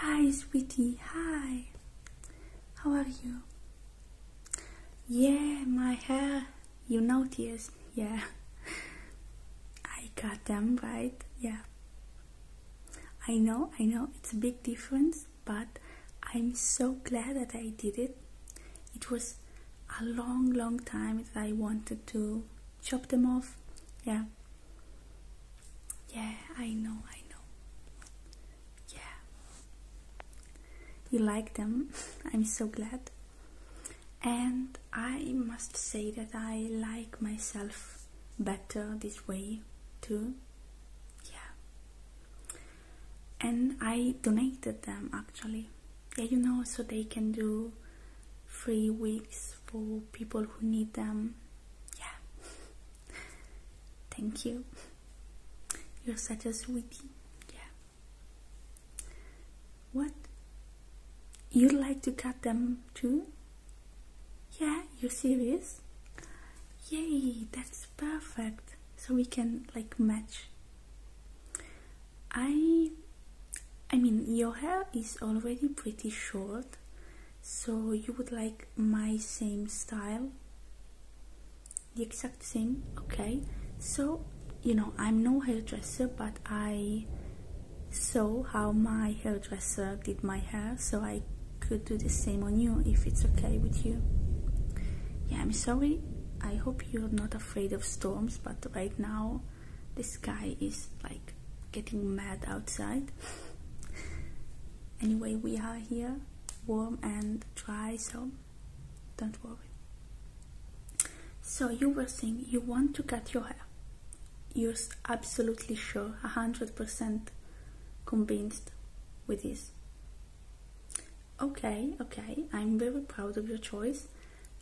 Hi, sweetie. Hi. How are you? Yeah, my hair. You noticed. Yeah. I got them right. Yeah. I know, I know, it's a big difference, but I'm so glad that I did it. It was a long, long time that I wanted to chop them off. Yeah. Yeah, I know, I know. Yeah. You like them. I'm so glad. And I must say that I like myself better this way too. Yeah. And I donated them actually. Yeah, you know, so they can do free weeks for people who need them. Yeah. Thank you. You're such a sweetie. Yeah. What? You would like to cut them too? Yeah, you're serious? Yay, that's perfect. So we can like match. I I mean, your hair is already pretty short, so you would like my same style? The exact same? Okay. So, you know, I'm no hairdresser, but I saw how my hairdresser did my hair, so I could do the same on you if it's okay with you. Yeah, I'm sorry. I hope you're not afraid of storms, but right now the sky is like getting mad outside. anyway, we are here, warm and dry, so don't worry. So you were saying you want to cut your hair. You're absolutely sure, 100% convinced with this. Okay, okay, I'm very proud of your choice.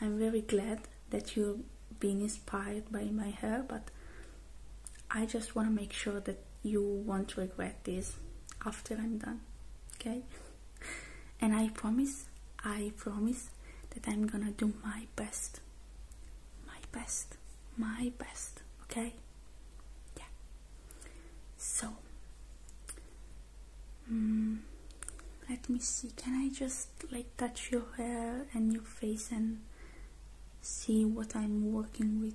I'm very glad that you have been inspired by my hair, but I just want to make sure that you won't regret this after I'm done, okay? And I promise, I promise that I'm gonna do my best, my best, my best, okay? Yeah. So, Hmm, let me see, can I just like touch your hair and your face and see what I'm working with?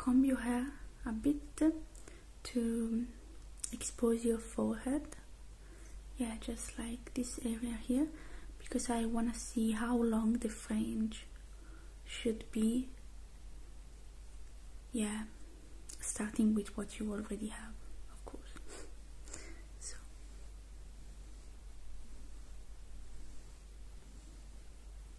comb your hair a bit to expose your forehead yeah just like this area here because I want to see how long the fringe should be yeah starting with what you already have of course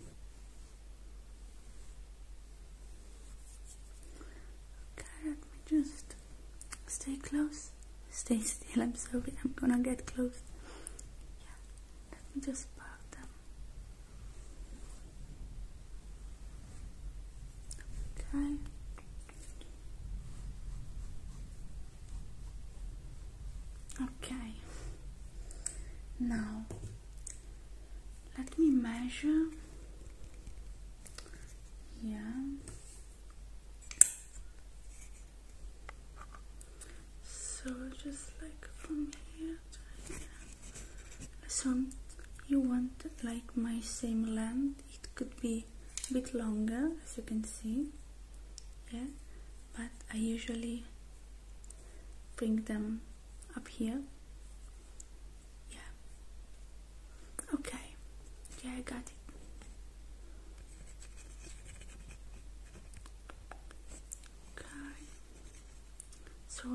Okay, let me just stay close. Stay still, I'm sorry, I'm gonna get close. Yeah, let me just part them. Okay. Okay. Now let me measure. Yeah. So just like from here So you want like my same length. It could be a bit longer as you can see. Yeah. But I usually bring them up here yeah okay yeah I got it okay so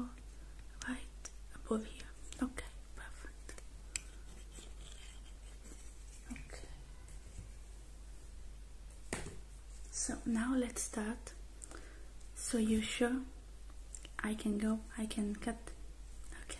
right above here okay perfect okay so now let's start so you sure I can go I can cut okay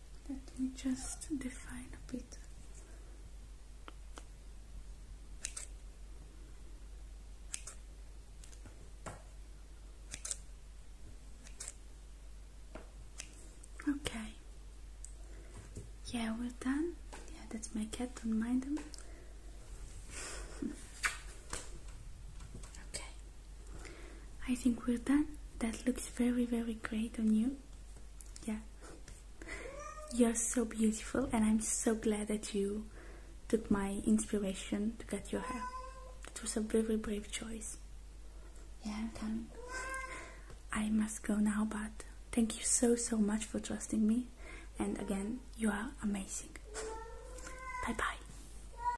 Let me just define a bit. Okay. Yeah, we're done. Yeah, that's my cat, don't mind him. okay. I think we're done. That looks very, very great on you. Yeah. You're so beautiful, and I'm so glad that you took my inspiration to cut your hair. It was a very brave choice. Yeah, I'm done. I must go now, but thank you so, so much for trusting me. And again, you are amazing. Bye bye.